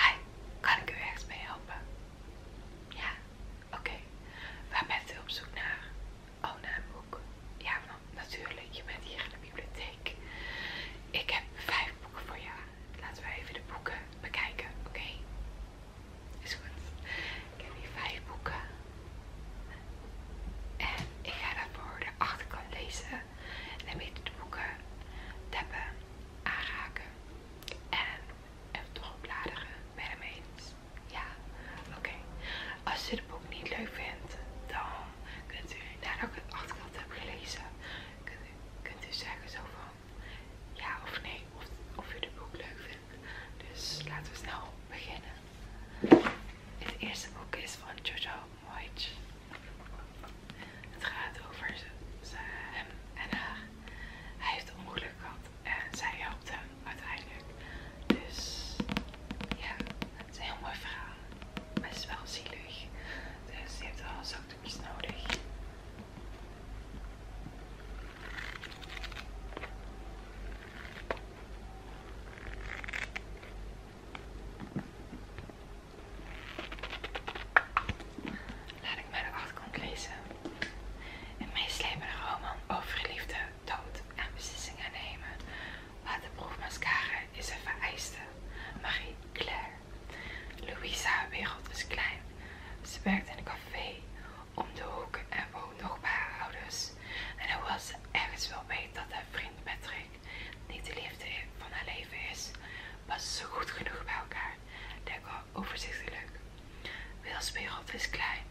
Hi, kan ik u ergens mee helpen? Ja, oké. Waar bent u op zoek naar? Oh, naar een boek. Ja, natuurlijk. Je bent hier in de bibliotheek. Ik heb vijf boeken voor jou. Laten we even de boeken bekijken, oké? Is goed. Ik heb hier vijf boeken. En ik ga daarvoor de achterkant lezen. En dan weet de boeken tappen aanraken en toch opladen ben je Ja? Oké. Als u het boek niet leuk vindt, dan kunt u, nadat ik het achterkant heb gelezen, kunt u, zeggen zo van ja of nee, of, of u het boek leuk vindt. Dus laten we snel beginnen. Het eerste boek is van Jojo Moyes. Het gaat over hem en haar. Hij heeft een ongeluk gehad en zij helpt hem uiteindelijk. Dus ja, het is een heel mooi verhaal. is wel zielig. Dus je hebt wel zakdoekjes nodig. Laat ik mijn de achterkant lezen. Een meeslepende roman over liefde, dood en beslissingen nemen. Waterproef mascara is een vereiste. Marie Claire. Louisa wereld is klein. Ze werkt in een café om de hoek en woont nog bij haar ouders. En hoewel ze ergens wel weet dat haar vriend Patrick niet de liefde van haar leven is, was zo goed genoeg bij elkaar. Denk Dekker overzichtelijk. Wils wereld is klein.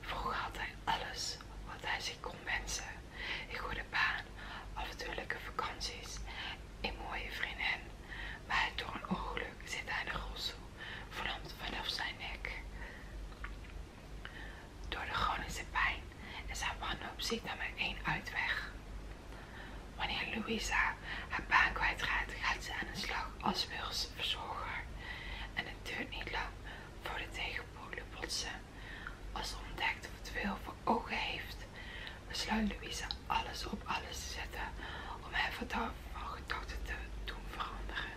Vroeger had hij alles wat hij zich kon wensen. Een goede baan, avontuurlijke vakanties, een mooie vriendin. Maar door een ongeluk zit hij in de rolstoel, verlamd vanaf zijn nek. Door de chronische pijn is haar wanhoop ziet naar maar één uitweg. Wanneer Louisa haar baan kwijtraakt, gaat ze aan de slag als wilsverzorger. En het duurt niet lang voor de tegenpolen botsen. Als ze ontdekt of het veel voor ogen heeft, besluit Louisa alles op alles te zetten om haar van gedachten te doen veranderen.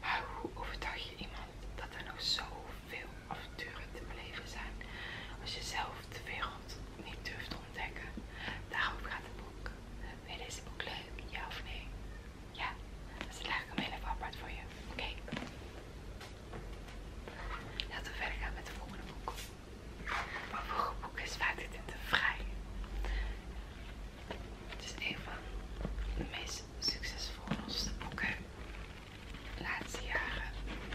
Maar hoe overdag je iemand dat er nog zoveel avonturen te beleven zijn als je zelf veel niet durft te ontdekken. Daarom gaat het boek. Vind je deze boek leuk? Ja of nee? Ja? Dus dan leg ik hem heel even apart voor je. Oké? Laten we verder gaan met de volgende boek. Maar het volgende boek is vaak dit in de vrij. Het is een van de meest succesvolle boeken laatste jaren in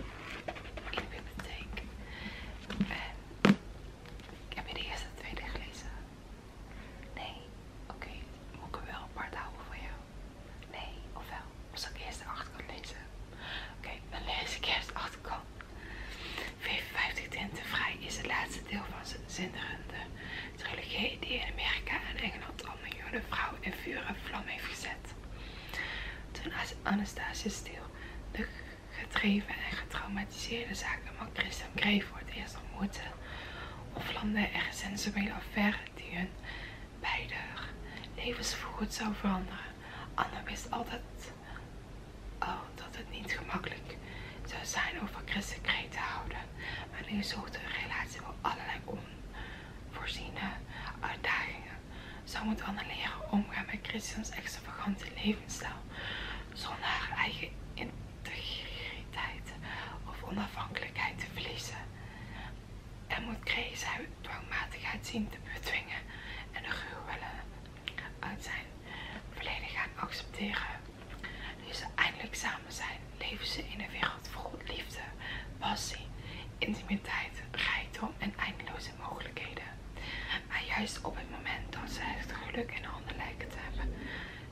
de bibliotheek. En ik heb je de eerste en tweede gelezen? Nee? Oké, moet ik er wel apart houden voor jou? Nee, of wel? Als ik eerst de achterkant lezen? Oké, dan lees ik eerst de achterkant. 55 Tinten Vrij is het laatste deel van zijn zinderende trilogie die in Amerika en Engeland al miljoenen vrouwen in vuur en vlam heeft gezet. Toen Anastasia stil, de gedreven en getraumatiseerde zaken van Christian Grey voor het eerst ontmoette, of er een sensuele affaire die hun beide levens voorgoed zou veranderen. Anna wist altijd al dat het niet gemakkelijk zou zijn over Christian Grey te houden, maar nu zocht hun relatie wel allerlei onvoorziene uitdagingen zou moet leren omgaan met Christians extravagante levensstijl zonder haar eigen integriteit of onafhankelijkheid te verliezen. En moet Grace zijn dwangmatigheid zien te bedwingen en de gruwelen uit zijn verleden gaan accepteren. Nu eindelijk samen zijn, leven ze in een wereld vol liefde, passie, intimiteit, rijkdom en eindeloos mogelijkheden. Maar juist op het moment dat ze het geluk en handen lijken te hebben,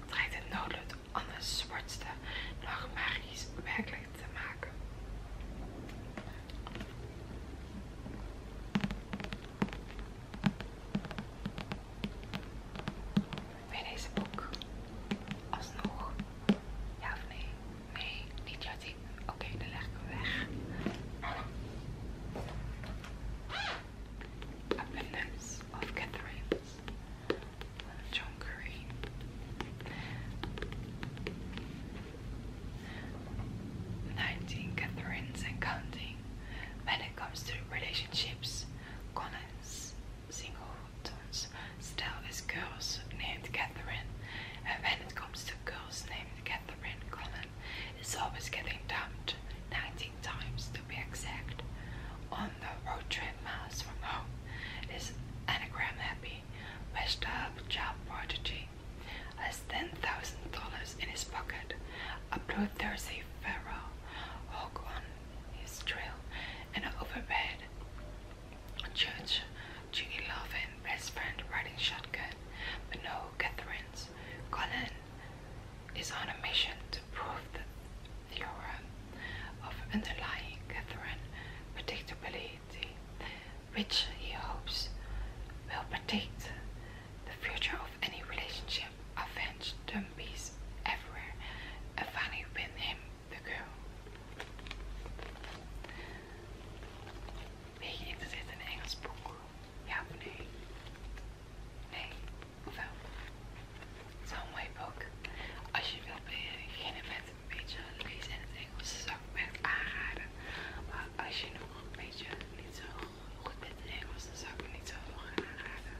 dreigt het noodlot anders zwartste dag magisch werkelijk te maken. Bij deze boek alsnog ja of nee? Nee, niet jouw tien. okay, dan leg ik hem weg. Abundance of Catherine's. John Curry. Nineteen Catherines and counting. When it comes to relationships, Collins singletons still is girls named Catherine, and when it comes to girls named Catherine Cullen is always getting dumped, 19 times to be exact. On the road trip miles from home is Anagram Happy, messed up job prodigy, has $10,000 in his pocket, a bloodthirsty pharaoh, hog on his trail, and over overpaid Church, Judy Lovin, best friend, riding shotgun. But no, Catherine's. Colin is on a mission to prove the theorem of underlying Catherine predictability, which he hopes will predict the future of any relationship. Avenge dummies everywhere, and finally win him the girl. Weet Meegeven zit in een Engels boek. Ja of nee? Nee, ofwel. Het is wel een mooi boek. Als je wilt beginnen met een beetje lezen in het Engels, zou ik me aanraden. Maar als je nog een beetje niet zo goed bent in Engels, dan zou ik het niet zo gaan aanraden.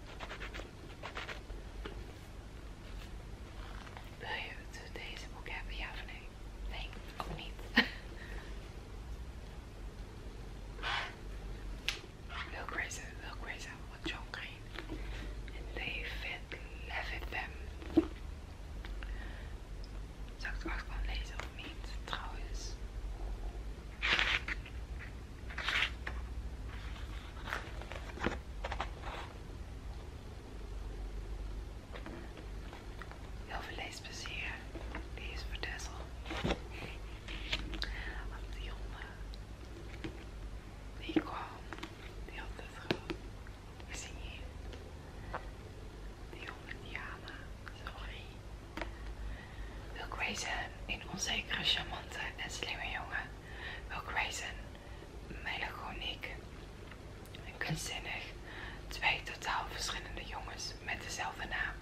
Wil je het, deze boek hebben? Ja of nee? Nee, ook niet. Wil Grace, Will Grace van John Green en David Levitam. Zou ik het achterkant lezen of niet? Trouwens. Heel veel leesplezier. Lees voor Tessel. De die honden, die kwam, die had het gewoon. We zien je. Die honden Diana, sorry. Wil Grayson, een onzekere, charmante en slimme jongen. Wil Grayson, melancholiek en kunstzinnig. Twee totaal verschillende jongens met dezelfde naam.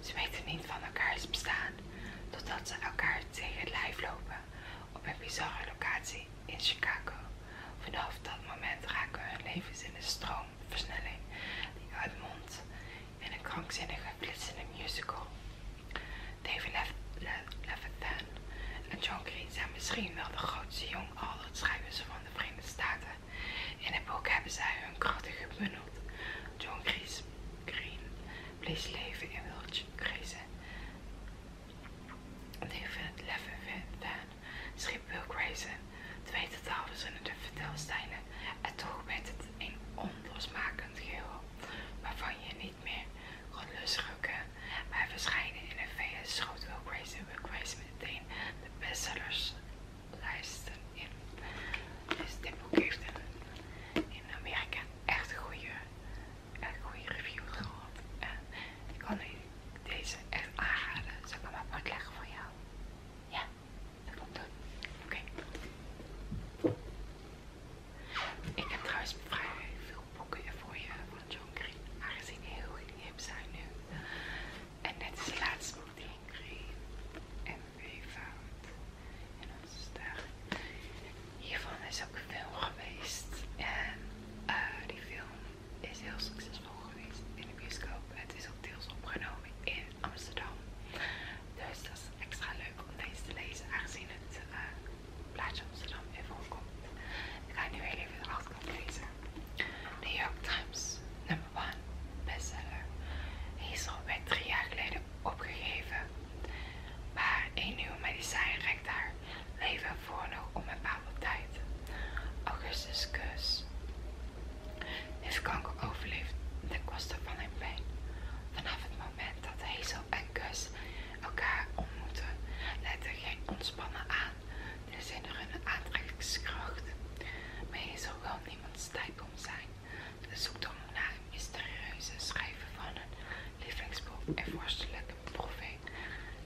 Ze weten niet van elkaar elkaars bestaan, totdat ze elkaar tegen het lijf lopen op een bizarre locatie in Chicago. Vanaf dat moment raken hun levens in een stroomversnelling die uitmondt in een krankzinnige, flitsende musical. David Lef en John Green zijn misschien wel de grootste jong schrijven schrijvers van de Verenigde Staten. In het boek hebben zij hun krachten gebundeld. John Gries, Green bleef leven in wildcrezen. David Leffertan schreef wil Grayson, twee totaal verschillende vertelstijlen en toch werd het een onlosmakend geheel waarvan je niet meer kon losrukken. Maar verschijnen in de VS schoot Will en Will meteen de bestsellerslijsten in. Dus dit boek heeft in Amerika echt goede, echt goede reviews gehad. En ik kan deze echt aanraden. Zal ik hem apart leggen voor jou? Ja dat komt Oké. Ik heb trouwens vrij veel boeken voor je van John Green, aangezien die heel hip zijn nu. En net is de laatste die ik En En dat is daar. Hiervan is ook een film geweest. En eh, die film is heel succesvol geweest in de bioscoop. Het is ook deels opgenomen in Amsterdam. Dus was extra leuk om deze te lezen, aangezien het eh, plaatje Amsterdam weer voorkomt. Ik ga nu heel even de achterkant lezen. New York Times, nummer 1, bestseller. Hij is bij drie jaar geleden opgegeven, maar een nieuwe medicijn reikt daar leven voor nog onbepaalde tijd. Augustus Kus. Is kanker overleefd ten koste van een pijn. Vanaf het moment dat Hazel en Gus elkaar ontmoeten, leidt er geen ontspannen aan. Er zijn er hun aantrekkingskracht. Maar Hazel wil stijf om zijn. De zoektocht naar een mysterieuze schrijver van een lievelingsboek en vorstelijke proefing.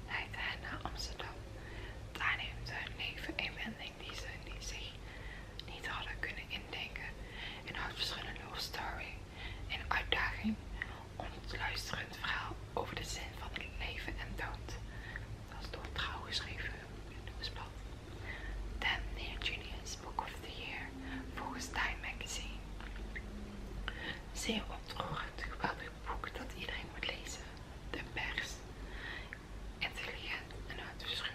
leidt hij naar Amsterdam. Daar neemt hun leven in die ze zich niet hadden kunnen indenken. Een hartverscheurende love story, een uitdaging, ontluisterend verhaal over de zin van het leven en dood. Dat is door Trouw geschreven, nieuwsblad. Dan Neil Junior's Book of the Year, volgens Time Magazine. Zeer ontroerend, geweldig boek dat iedereen moet lezen. De pers, intelligent en uitverscheurend.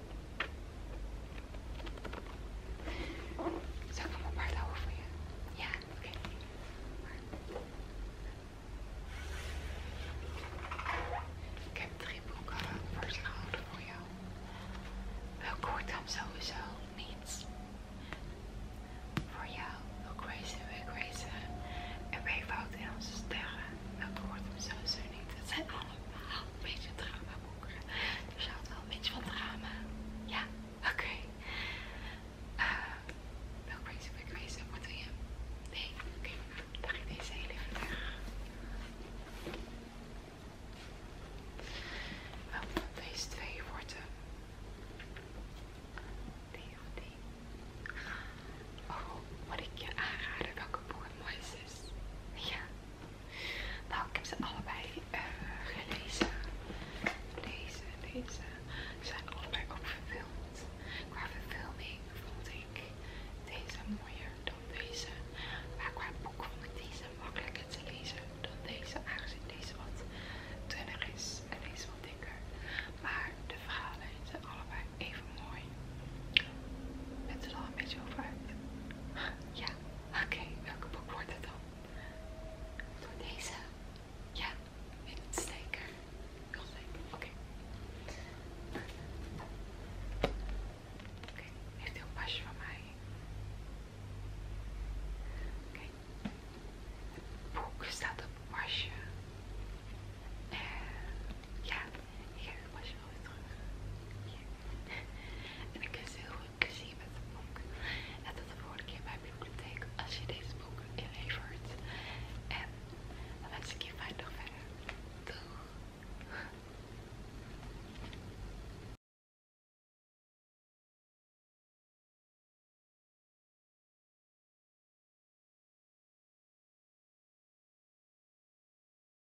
Zal ik een apart houden voor je? Ja, oké. Ik heb drie boeken voor verzameld voor jou. Wel kort dan sowieso niets. Voor jou wil Grace wil Grace en wij fouten in onze sterren. Welke hoort hem sowieso niet. Het zijn allemaal een beetje drama dus Er had wel een beetje van drama. Ja, oké. Eh, welk Uh, no crazy, big wordt wat je? Nee, oké. Dan ga ik deze heel even weg. Wel deze twee wordt Die of Oh, wat ik je aanraden welke boek het is. Ja. Nou, ik heb ze allebei eh, gelezen. Deze en deze zijn allebei ook verfilmd. Qua verfilming vond ik deze mooier dan deze. Maar qua boek vond ik deze makkelijker te lezen dan deze. Aangezien deze wat dunner is en deze wat dikker. Maar de verhalen zijn allebei even mooi. Het er al een beetje over Ja, oké, welke boek wordt het dan? Door deze? Ja, windsteker. Windsteker, oké. Okay. Oké, Oké, heeft hij een pasje van mij? Oké. Het boek staat op pasje. En eh, ja, hier, pas je wel weer terug. En ik kun je heel goed plezier met het boek. En dat de volgende keer bij de bibliotheek als je deze boek inlevert. En dan wens ik je fijn nog verder. Doeg!